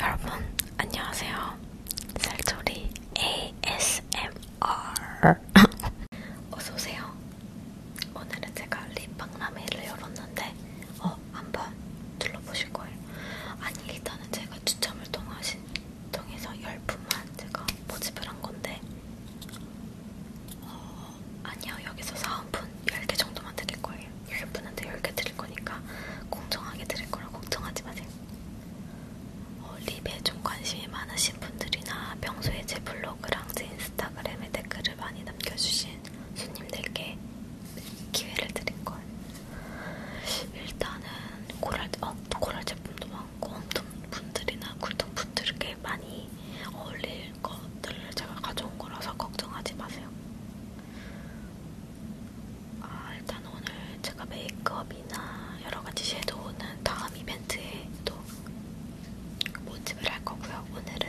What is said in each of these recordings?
여러분 안녕하세요. 살조리 ASMR 어서 오세요. 오늘은 제가 립박람회를 열었는데 어 한번 둘러보실 거예요. 아니 일단은 제가 추첨을 통하신 통해서 열 분만 제가 모집을 한 건데 어, 아니요 여기서 사은품 10개 정도만 드릴 거예요. 10분한테 10개 드릴 거니까 공정하게 드릴 거라 걱정하지 마세요. 어, 립에 좀 관심이 많으신 분들이나 평소에 제 블로그랑 제 인스타그램에 댓글을 많이 남겨주신 손님들께 기회를 드린 걸. 일단은 고랄, 어, 고랄 제품도 많고 엄청 분들이나 굴통 분들께 많이 어울릴 것들을 제가 가져온 거라서 걱정하지 마세요. 아, 일단 오늘 제가 메이크업이나 여러가지 섀도우는 다음 이벤트에 또 모집을 할 거고요. 오늘은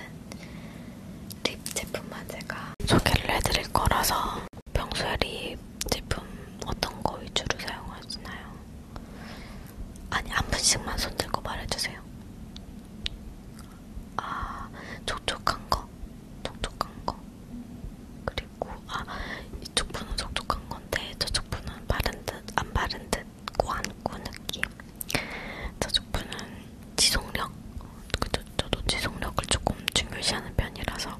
립 제품만 제가 소개를 해드릴 거라서 평소에 립 제품 어떤 거 위주로 사용하시나요? 아니, 한 분씩만 손 들고 말해주세요. 아, 촉촉한 거, 촉촉한 거. 그리고 아, 이쪽 분은 촉촉한 건데 저쪽 분은 바른 듯 안 바른 듯 꾸안꾸 느낌. 저쪽 분은 지속력. 그저, 저도 지속력을 조금 중요시하는 편이라서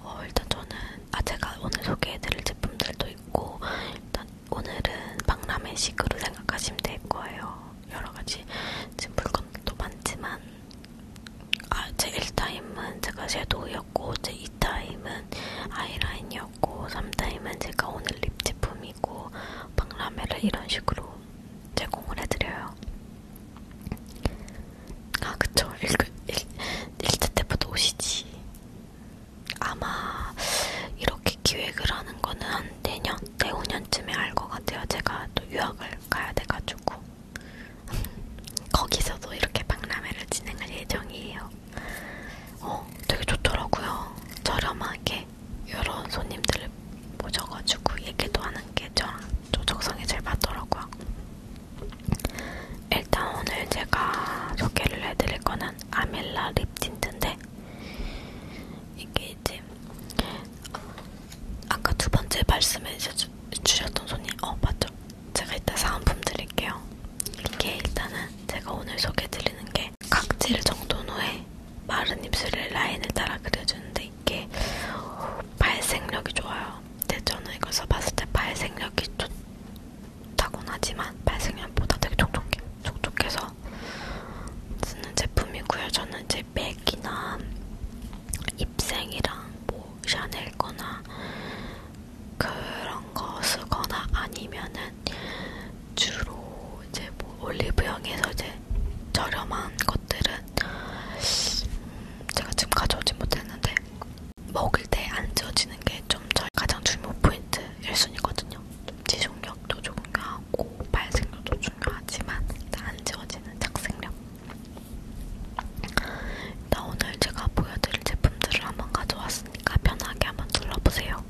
어, 일단 저는 아 제가 오늘 소개해드릴 제품들도 있고 일단 오늘은 박람회식으로 생각하시면 될 거예요. 여러 가지 지금 것도 많지만 아, 제 1타임은 제가 섀도우였고 제 2타임은 아이라인이었고 3타임은 제가 오늘 립 제품이고 박람회를 이런 식으로 제공을 해드려요. 아 그쵸 1, 1, 1차 때부터 오시지. 아마 이런 어떻게 기획을 하는 거는 한 내년, 내후년쯤에 네, 알것 같아요. 제가 또 유학을 가야 돼가지고 거기서도 이렇게 박람회를 진행할 예정이에요. 어, 되게 좋더라고요. 저렴하게 여러 손님들을 모셔가지고 얘기도 하는 게 저랑 조적성에 잘 맞더라고요. 일단 오늘 제가 소개를 해드릴 거는 아밀라 립 틴트인데 이게 이제 있는데 아까 두 번째 말씀해 주셨던 손님, 어 맞죠? 제가 이따 사은품 드릴게요. 이게 일단은 제가 오늘 소개드리는 게 각질 정돈 후에 마른 입술의 라인을 따라 그려주는데 이게 발색력이 좋아요. 근데 저는 이거 써봤을 때 발색력이 좋다곤 하지만 발색력보다 되게 촉촉해. 촉촉해서 쓰는 제품이고요. 저는 이제 맥이나 입생이랑 뭐 샤넬거나 그런 거 쓰거나 아니면은 주로 이제 뭐 올리브영에서 이제 저렴한 것들은 제가 지금 가져오지 못했는데 먹을 때안 쪄지는 게좀 가장 중요 포인트 1순위거든요. 지속력도 중요하고 발색력도 중요하지만 안 지워지는 착색력 일단 오늘 제가 보여드릴 제품들을 한번 가져왔으니까 편하게 한번 둘러보세요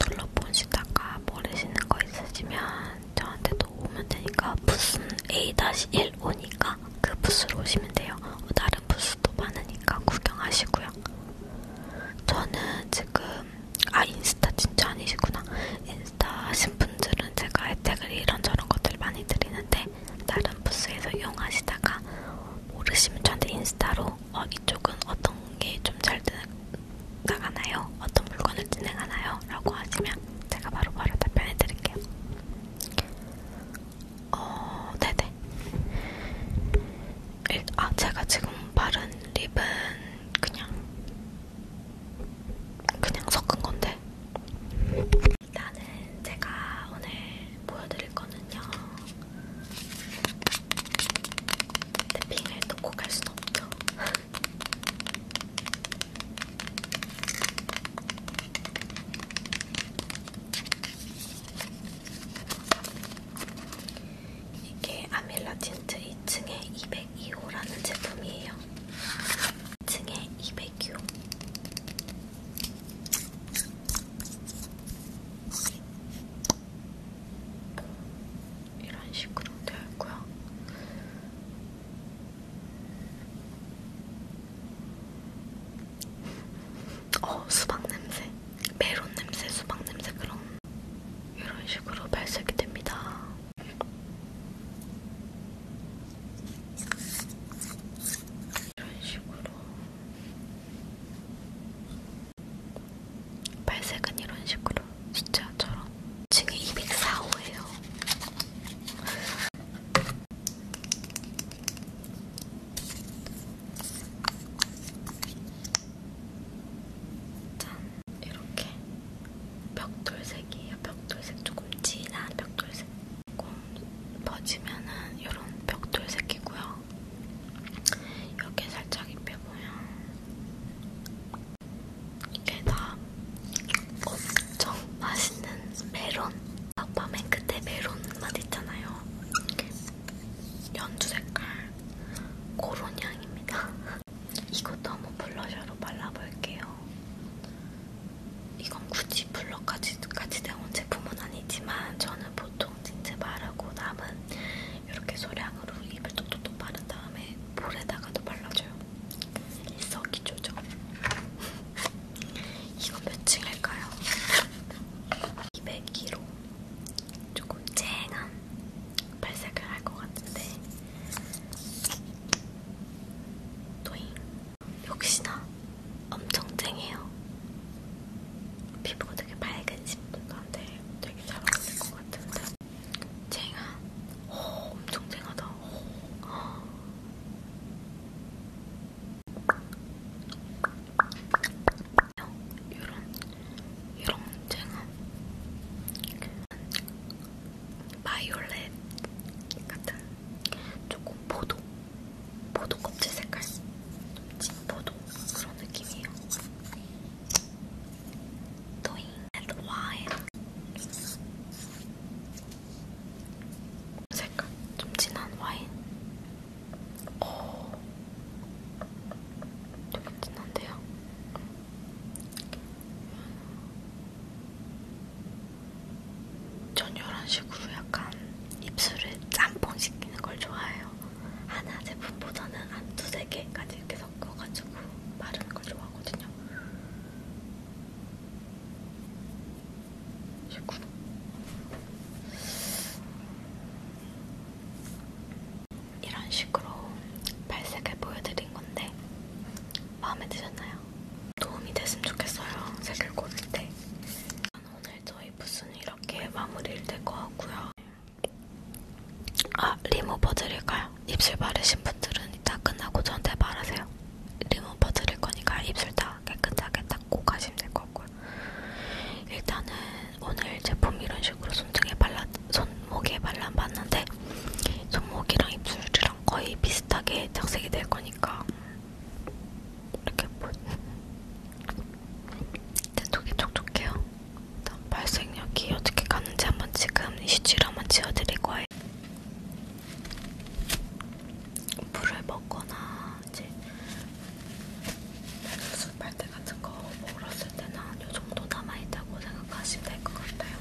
둘러보시다가 모르시는 거 있으시면 저한테도 오면 되니까 부슨 A-1 오니까 그 부스로 오시면 돼요 어, 다른 부스도 많으니까 구경하시고요 저는 지금 아 인스타 진짜 아니시구나 인스타 하신 분들은 제가 혜택을 이런저런 것들 많이 드리는데 다른 부스에서 이용하시다가 모르시면 저한테 인스타로 어, 이쪽은 어떤 게 좀 잘 나가나요? 어떤 물건을 진행하나요? 라고 하시면 제가 바로바로 바로 답변해드릴게요 어... 네네 아 제가 지금 바른 립은 그냥 그냥 섞은 건데 일단은 제가 오늘 보여드릴 거는요 탭핑을 놓고 갈순 없죠 이게 아밀라 틴트 2층에 202호라는 제품이에요. 2층에 202호. 이런 식으로 되어 있고요. 어, 수박 냄새, 메론 냄새, 수박 냄새 그런 이런 식으로 발색이 됩니다. 이런 식으로 발색은 이런 식으로 숫자처럼 층이 204호예요. 짠! 이렇게 벽돌색이에요. 벽돌색 조금 진한 벽돌색. 조금 퍼지면은 이런 벽돌색이고요. 이렇게 살짝 입혀보면 이게 다 엄청 맛있는 메론. 아빠 맨 끝에 메론 맛 있잖아요. 연두 색깔 고론 향입니다. 이것도 한번 블러셔로 발라볼게요. 이건 굳이 블러까지 까지 나온 제품은 아니지만 저는 보통 진짜 바르고 남은 이렇게 소량으로 입을 똑똑똑 바른 다음에 볼에다가도 발라줘요. 일석이조죠. 이건 몇 층일까요? 202로 조금 쨍한 발색을 할 것 같은데 또잉 역시나 엄청 쨍해요. 피부가 되게 밝은 친구한테 되게 잘 어울릴 것 같은데 쨍한 오 엄청 쨍하다 오. 이런 이런 쨍한 바이올렛 같은 조금 포도 포도 껍질 색깔 찐 포도 그런 느낌이에요. Doing and wild. 색깔 좀 진한 와인. 오, 어. 되게 진한데요? 전 이런 식으로 약간 입술을 짬뽕 시키는 걸 좋아해요. 하나 제품보다는 한 두세 개까지 이렇게 섞어가지고 바르는 걸 좋아하거든요. 19도. 이런 식으로 발색을 보여드린 건데 마음에 드셨나요? 도움이 됐으면 좋겠어요. 색을 고를 때. 오늘 저희 부스는 이렇게 마무리를 될거 같고요. 아, 리무버 드릴까요? 입술 바르신 분들은 이따 끝나고 저한테 말하세요. 리무버 드릴 거니까 입술 다 깨끗하게 닦고 가시면 될 것 같고요. 일단은 오늘 제품 이런 식으로 손등에 발라, 손목에 발라봤는데 손목이랑 입술이랑 거의 비슷하게 착색이 될 거니까 이렇게 뭐 일단 되게 촉촉해요. 일단 발색력이 어떻게 가는지 한번 지금 이슈치로 한번 지워드릴 거예요. 물을 먹거나 이제 숙발대 같은 거 먹었을 때는 이 정도 남아있다고 생각하시면 될 것 같아요.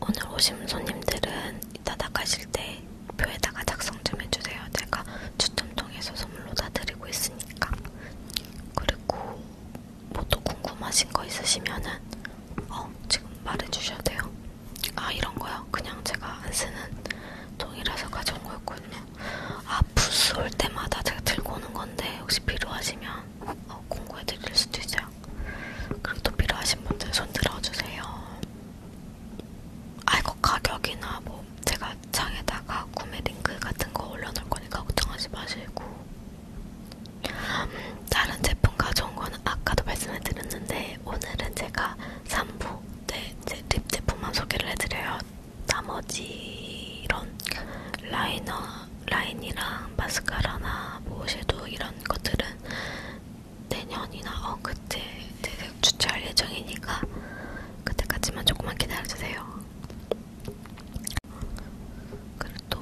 오늘 오신 손님들은 이따 나가실 때 표에다가 작성 좀 해주세요. 내가 추첨 통해서 선물로 다 드리고 있으니까. 그리고 뭐 또 궁금하신 거 있으시면은 어 지금 말해주셔도 돼요. 아 이런 거요. 그냥 제가 안 쓰는 통이라서 가져온 거였군요. 아프스 올 때마다 제가 들고 오는 건데 혹시 필요하시면 어, 공고해 드릴 수도 있어요. 그리고 또 필요하신 분들 손 들어주세요. 아 이거 가격이나 뭐 제가 창에다가 구매 링크 같은 거 올려놓을 거니까 걱정하지 마시고 음, 다른 제품 가져온 거는 아까도 말씀해 드렸는데 오늘은 제가 3부 네, 제립 제품만 소개를 해드려요. 나머지 이런 라이너, 라인이랑 마스카라나 뭐 섀도우 이런 것들은 내년이나 어 그때 대략 주차할 예정이니까 그때까지만 조금만 기다려주세요. 그리고 또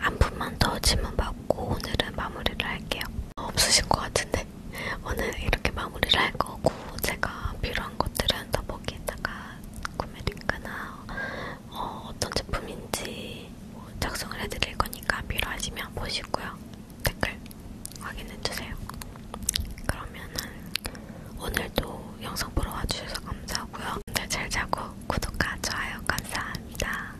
안품만 더 질문받고 오늘은 마무리를 할게요. 없으신 것 같은데 오늘 이렇게 마무리를 할 거고 제가 필요한 것들은 더 거기에다가 구매를 있거나 어, 어떤 제품인지 뭐 작성을 해드릴 거니까 필요하시면 보시고요. 댓글 확인해주세요. 그러면은 오늘도 영상 보러 와주셔서 감사하고요. 오늘 잘 자고 구독과 좋아요 감사합니다.